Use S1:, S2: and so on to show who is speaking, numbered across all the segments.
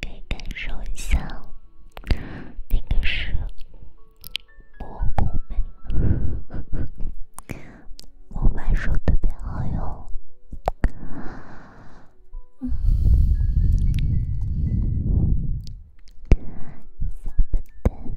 S1: 可以感受一下，那个是蘑菇粉，我买说特别好用，嗯，小布丁。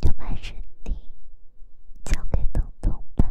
S1: 就把身体交给东东吧。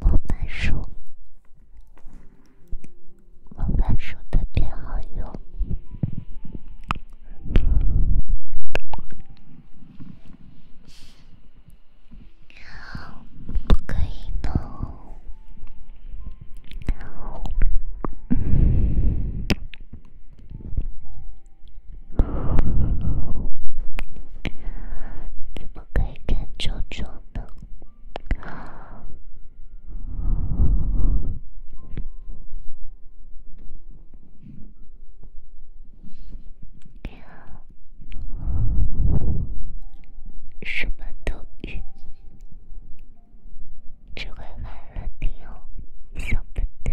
S1: 模板书，模板书特别好用。不可以动。怎么可以看啾啾呢？你好，什么都鱼，只会卖了你哟，小笨蛋。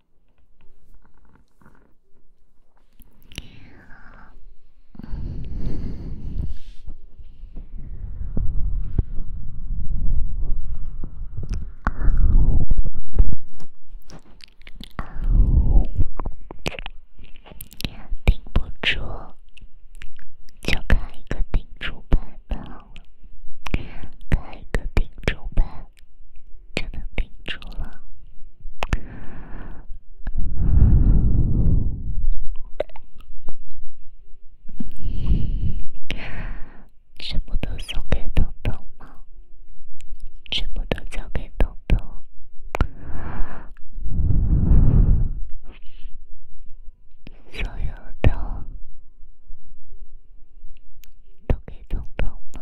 S1: 顶不住，就开一个顶住版吧，开一个顶住版。可能停住了。什么都送给彤彤吗？什么都交给彤彤？所有的都给彤彤吗？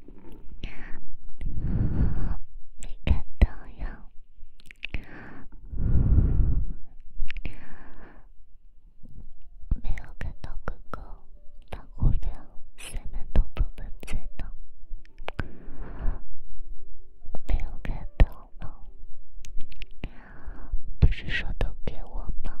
S1: 没有看到哟，没有看到哥哥，把物品什么都分分走，没有看到了，不是说都给我吗？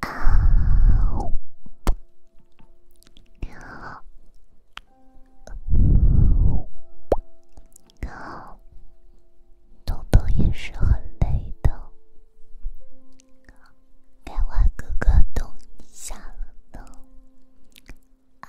S1: 啊！好，懂懂也是很累的。啊，漫画哥哥懂你下了呢。啊！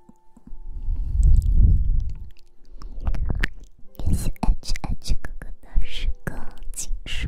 S1: 练习爱去爱去哥哥的诗歌技术。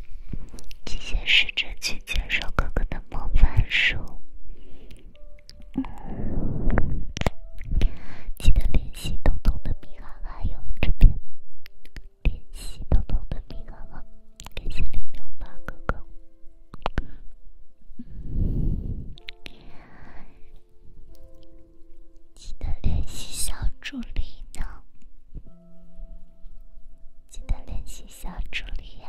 S1: 先试着去接受哥哥的魔法书，记得练习彤彤的鼻鼾，还有这边练习彤彤的鼻鼾啊！感谢零六八哥哥，记得练习小助理呢。记得联系小助理呀。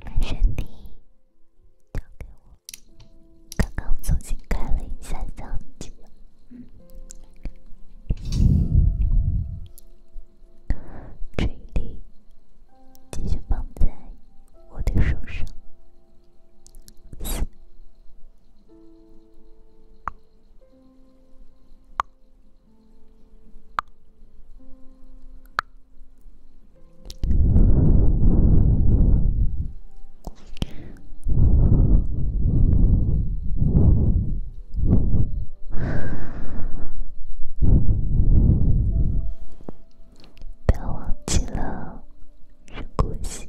S1: 把身体交给我，刚刚重新开了一下相机，注意力继续放在我的手上。别忘记了深呼吸。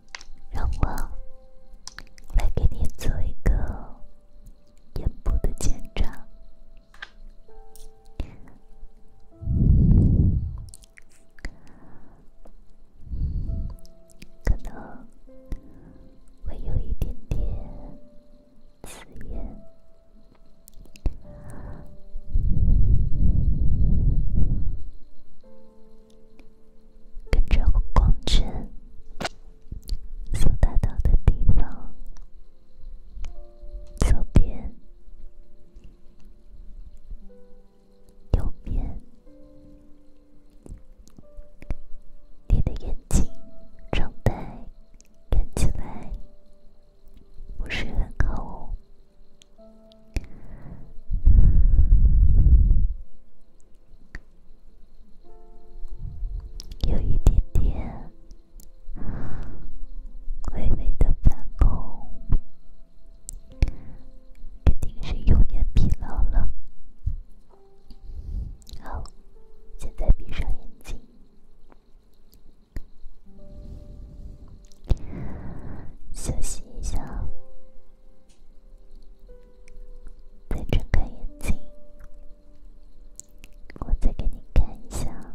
S1: 让我来给你做一个眼部的检查，可能会有一点点刺眼。跟着光圈所达到的地方，左边、右边，你的眼睛状态看起来不是很好哦。有一点点微微的泛红，肯定是用眼疲劳了。好，现在闭上眼睛，休息一下。再睁开眼睛，我再给你看一下。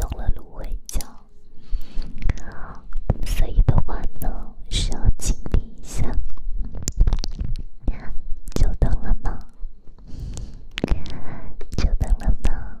S1: 弄了芦荟胶，所以的话呢，需要清理一下。久等了吗？久等了吗？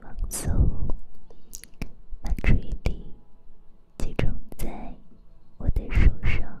S1: 放松，把注意力集中在我的手上。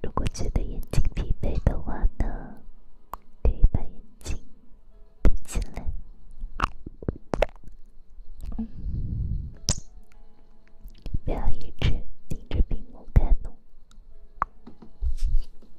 S1: 如果觉得眼睛疲惫的话呢，可以把眼睛闭起来，不要一直盯着屏幕看哦。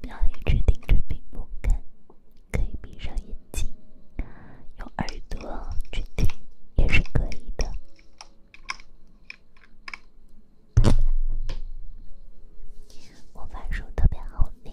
S1: 不要一直盯着屏幕看，可以闭上眼睛，用耳朵去听也是可以的。魔 法书特别好听。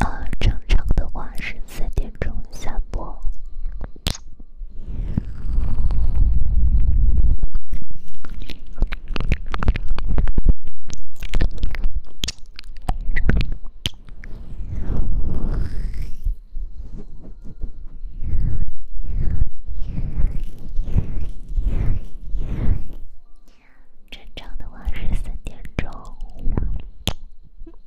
S1: 啊，正常的话是三点钟下播。正常的话是三点钟。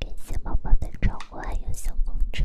S1: 感谢宝宝的照顾，还有小风筝。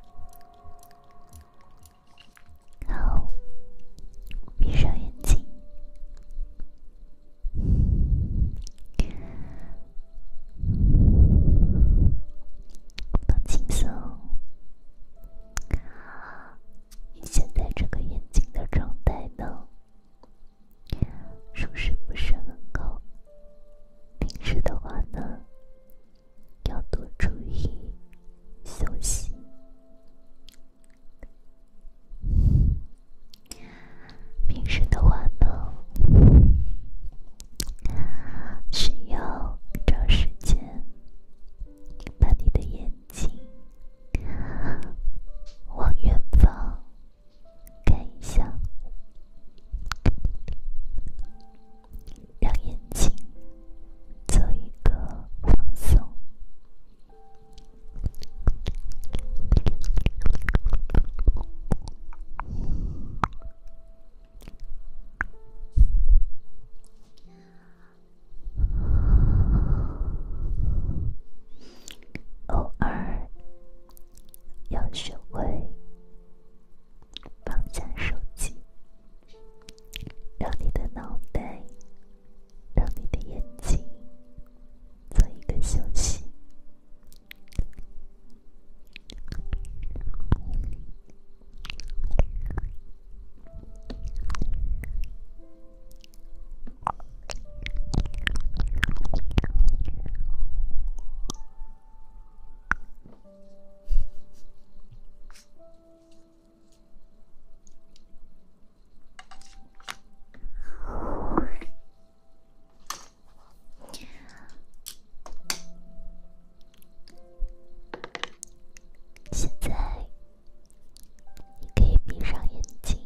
S1: 好，闭上眼睛，放轻松。你现在这个眼睛的状态呢，舒适不是很高。平时的话呢？要多注意休息。平时的话呢，需要找时间把你的眼睛往远方看一下。让眼睛做一个放松，偶尔要学会。放下手机，让你的脑袋，让你的眼睛做一个休息。现在，你可以闭上眼睛，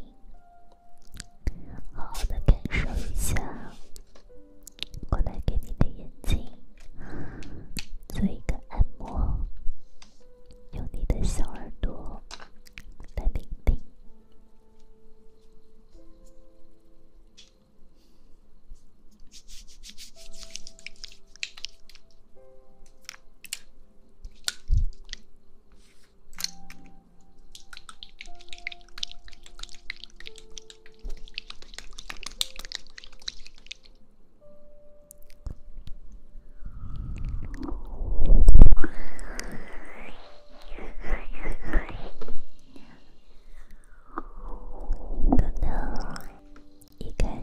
S1: 好好的感受一下。我来给你的眼睛做一个按摩，用你的小耳朵来听听。可能一开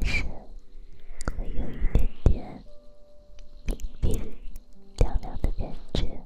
S1: 始会有一点点冰冰凉凉的感觉。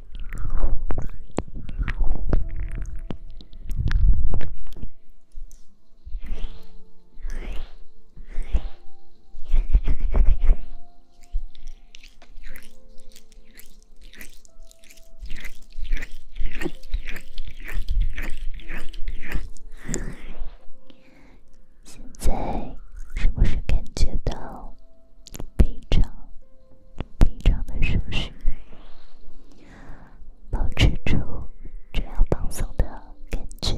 S1: 现在是不是感觉到悲伤？闭上的双眼，保持住这样放松的感觉。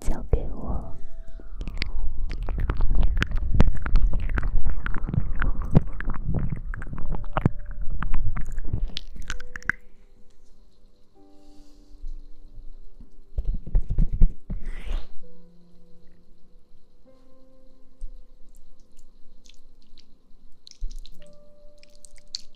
S1: 交给我。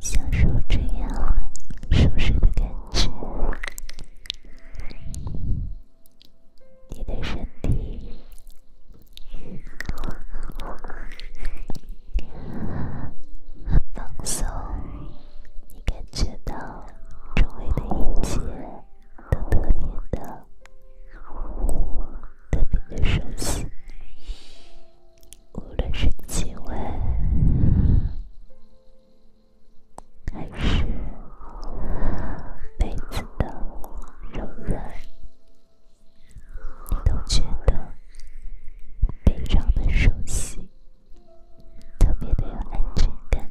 S1: 享受这样熟睡的感觉。你的身体很放松，你感觉到周围的一切都特别的，特别的熟悉，无论是气味还是。被子的柔软，你都觉得非常的熟悉，特别的有安全感。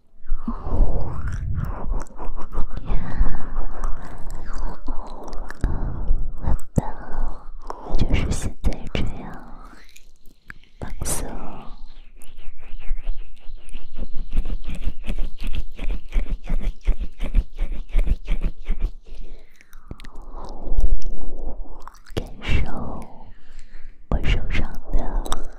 S1: 我的就是现在这样，感受我手上的。